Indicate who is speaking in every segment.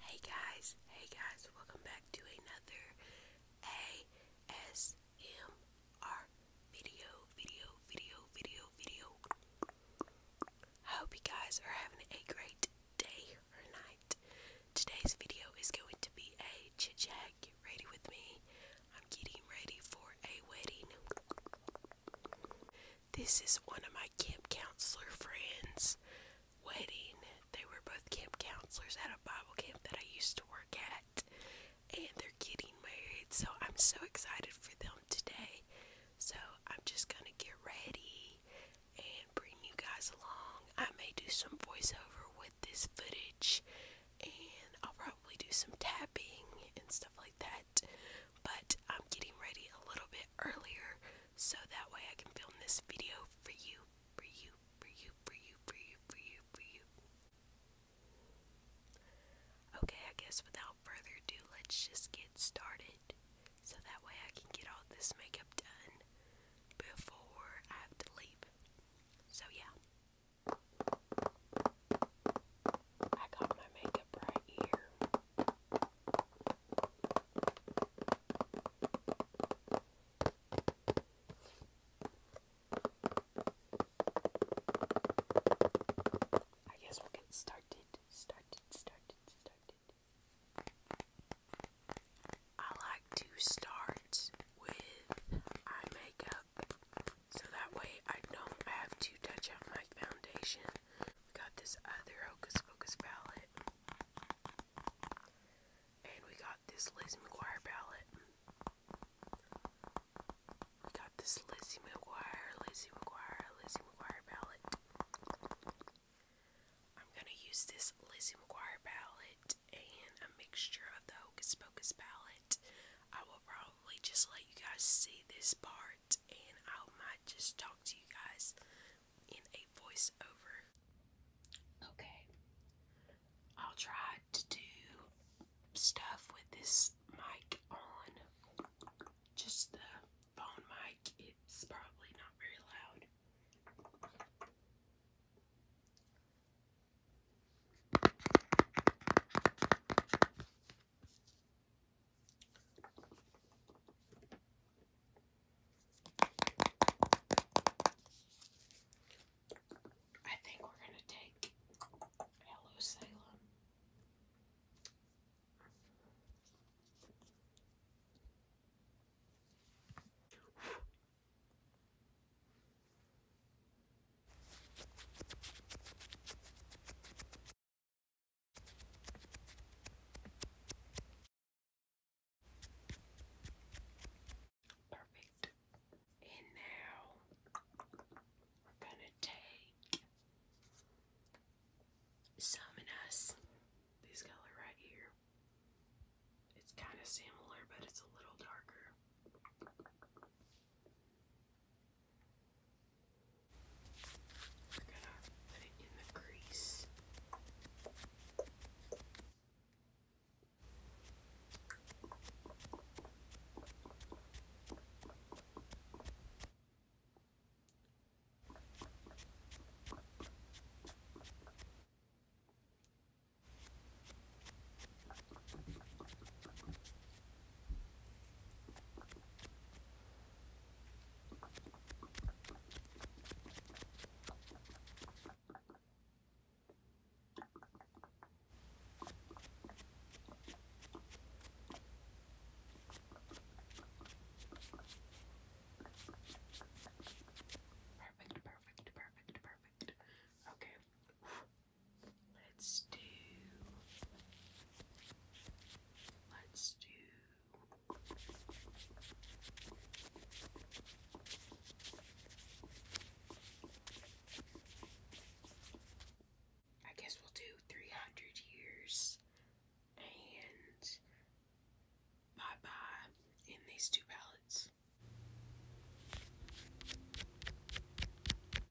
Speaker 1: Hey guys, hey guys, welcome back to another ASMR video, video, video, video, video. I hope you guys are having a great day or night. Today's video is going to be a chit chat. ready with me. I'm getting ready for a wedding. This is one of my camp counselor friend's wedding. They were both camp counselors at a Bible camp that I used to work at, and they're getting married, so I'm so excited for them today. So I'm just gonna get ready and bring you guys along. I may do some voiceover with this footage, and I'll probably do some tapping and stuff like that, but I'm getting ready a little bit earlier so that way I can film this video for you, for you, for you, for you, for you, for you, for you. Okay, I guess without further ado, let's just get started so that way I can get all this makeup done before I have to leave. So, yeah. I got my makeup right here. I guess we'll get started, started, started, started. I like to start with eye makeup so that way I don't have to touch up my foundation we got this other Hocus Pocus palette. And we got this Lizzie McGuire palette. We got this Lizzie McGuire, Lizzie McGuire, Lizzie McGuire palette. I'm gonna use this Lizzie McGuire palette and a mixture of the Hocus Pocus palette. I will probably just let you guys see this part and I might just talk to you guys in a voiceover. Okay. I'll try to do stuff with this mic on. Just the phone mic. It's probably not very loud. I think we're going to take Hello Salem. Perfect. And now we're gonna take Summon Us, this color right here. It's kind of similar, but it's a little darker. We're gonna put it in the crease. Perfect, perfect, perfect, perfect. Okay. Let's do Let's do. I guess we'll do 300 years and bye bye in these two palettes.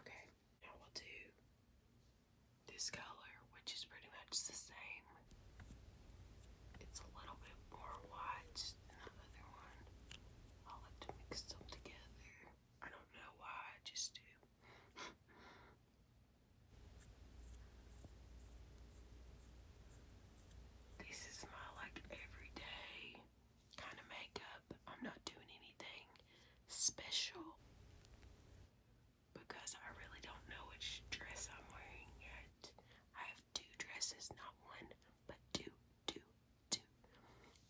Speaker 1: Okay, now will do this color, which is pretty much the same. It's a little bit more white than the other one. I like to mix them together. I don't know why, I just do. this is my like everyday kind of makeup. I'm not doing anything special because I really don't know which dress I'm wearing yet. I have two dresses, not one, but two, two, two,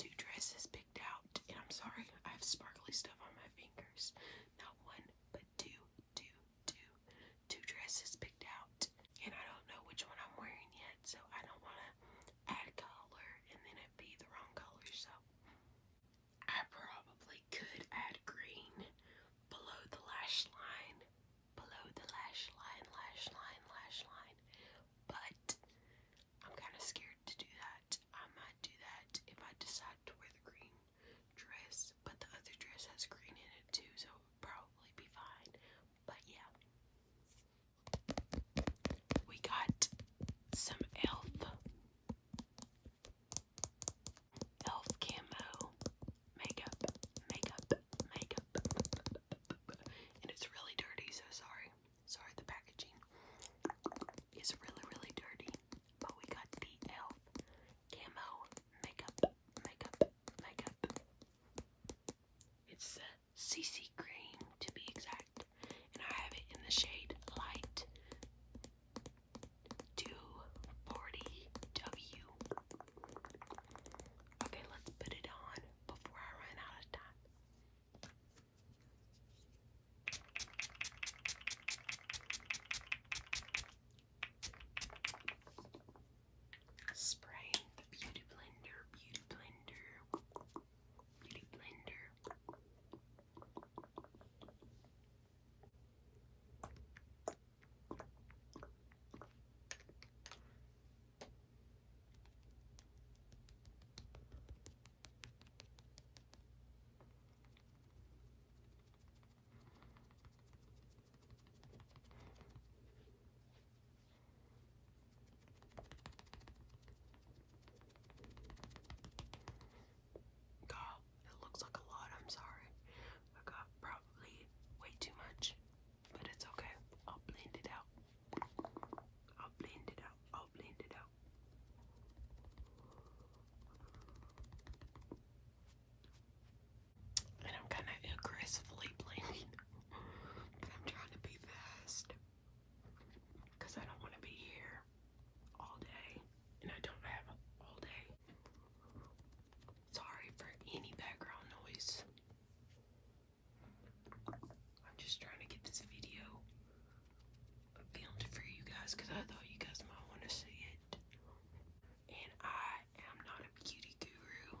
Speaker 1: two dresses picked out. And I'm sorry, I have sparkly stuff on my fingers. Not one, but two, two, two, two dresses picked out. And I don't know which one I'm wearing yet, so I don't want to add color and then it'd be the wrong color, so I probably could add green below the lash line, below the lash line, lash line, lash line, but I'm kind of scared to do that. I might do that if I decide to wear the green dress, but the other dress has green in it too, so it would probably be fine, but yeah. We got some elf elf camo makeup, makeup, makeup, and it's really dirty. So sorry, sorry. The packaging is really, really dirty, but we got the elf camo makeup, makeup, makeup. It's CC cream to be exact, and I have it in the shade Light 240W. Okay, let's put it on before I run out of time. Spray the Beauty Blender, Beauty Blender, Beauty Blender. God, it looks like a lot. I'm sorry. I got probably way too much, but it's okay. I'll blend it out. I'll blend it out. I'll blend it out. And I'm kind of aggressively blending but I'm trying to be fast because I don't want to be here all day and I don't have all day. Sorry for any background noise. I'm just trying to get this video filmed for you guys because I thought you guys might want to see it. And I am not a beauty guru.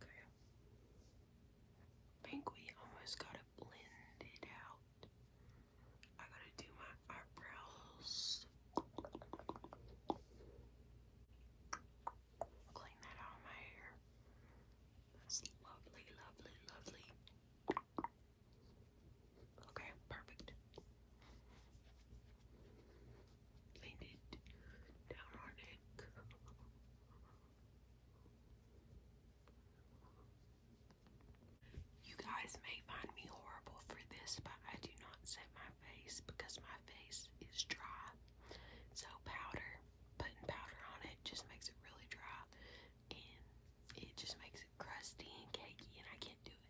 Speaker 1: Okay. think we almost got it blended out. I gotta do my eyebrows. Clean that out of my hair. That's lovely, lovely, lovely. Okay, perfect. Lean it down our neck. You guys may find me horrible for this, but I do not set my face because my face is dry. So powder, putting powder on it just makes it really dry and it just makes it crusty and cakey and I can't do it.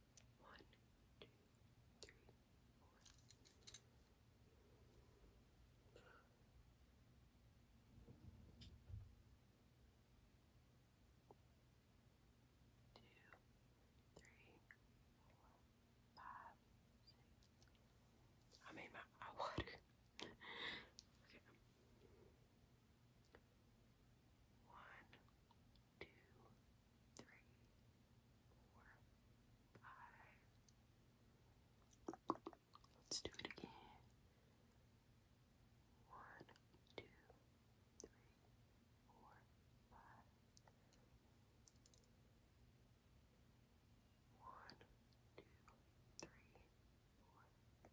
Speaker 1: One, two, three, four. Two, three, four, five, six. I made my eye okay. One, two, three, four, five. Let's do it again. One, two, three, four, five. One, two, three, four, five.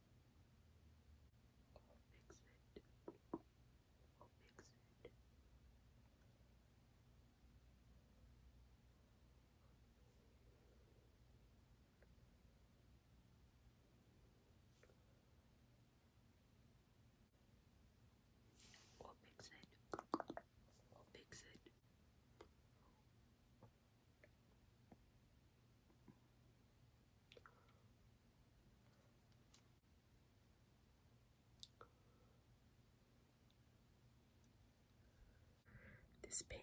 Speaker 1: Fix it. Fix it. We'll fix it. We'll fix it. We'll this pink.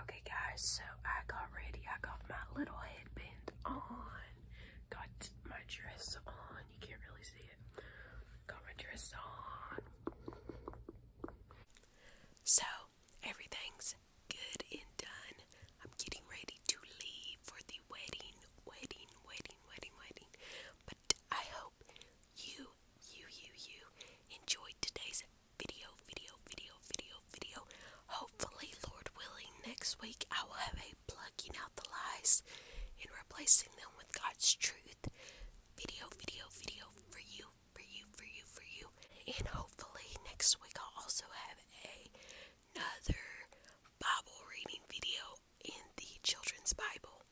Speaker 1: Okay, guys, so I got ready. I got my little headband on, got my dress on. You can't really see it. Got my dress on. So, everything's Good and done. I'm getting ready to leave for the wedding, wedding, wedding, wedding, wedding. But I hope you, you, you, you enjoyed today's video, video, video, video, video. Hopefully, Lord willing, next week I will have a plucking out the lies and replacing them with God's truth video, video, video for you, for you, for you, for you. And hopefully, next week I'll also have a another Bible reading video in the Children's Bible.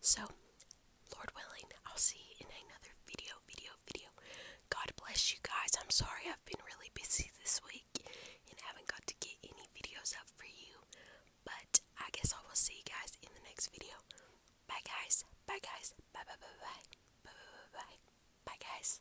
Speaker 1: So, Lord willing, I'll see you in another video, video, video. God bless you guys. I'm sorry I've been really busy this week and haven't got to get any videos up for you. But I guess I will see you guys in the next video. Bye guys. Bye guys. Bye bye bye bye. Bye bye bye bye. Bye guys.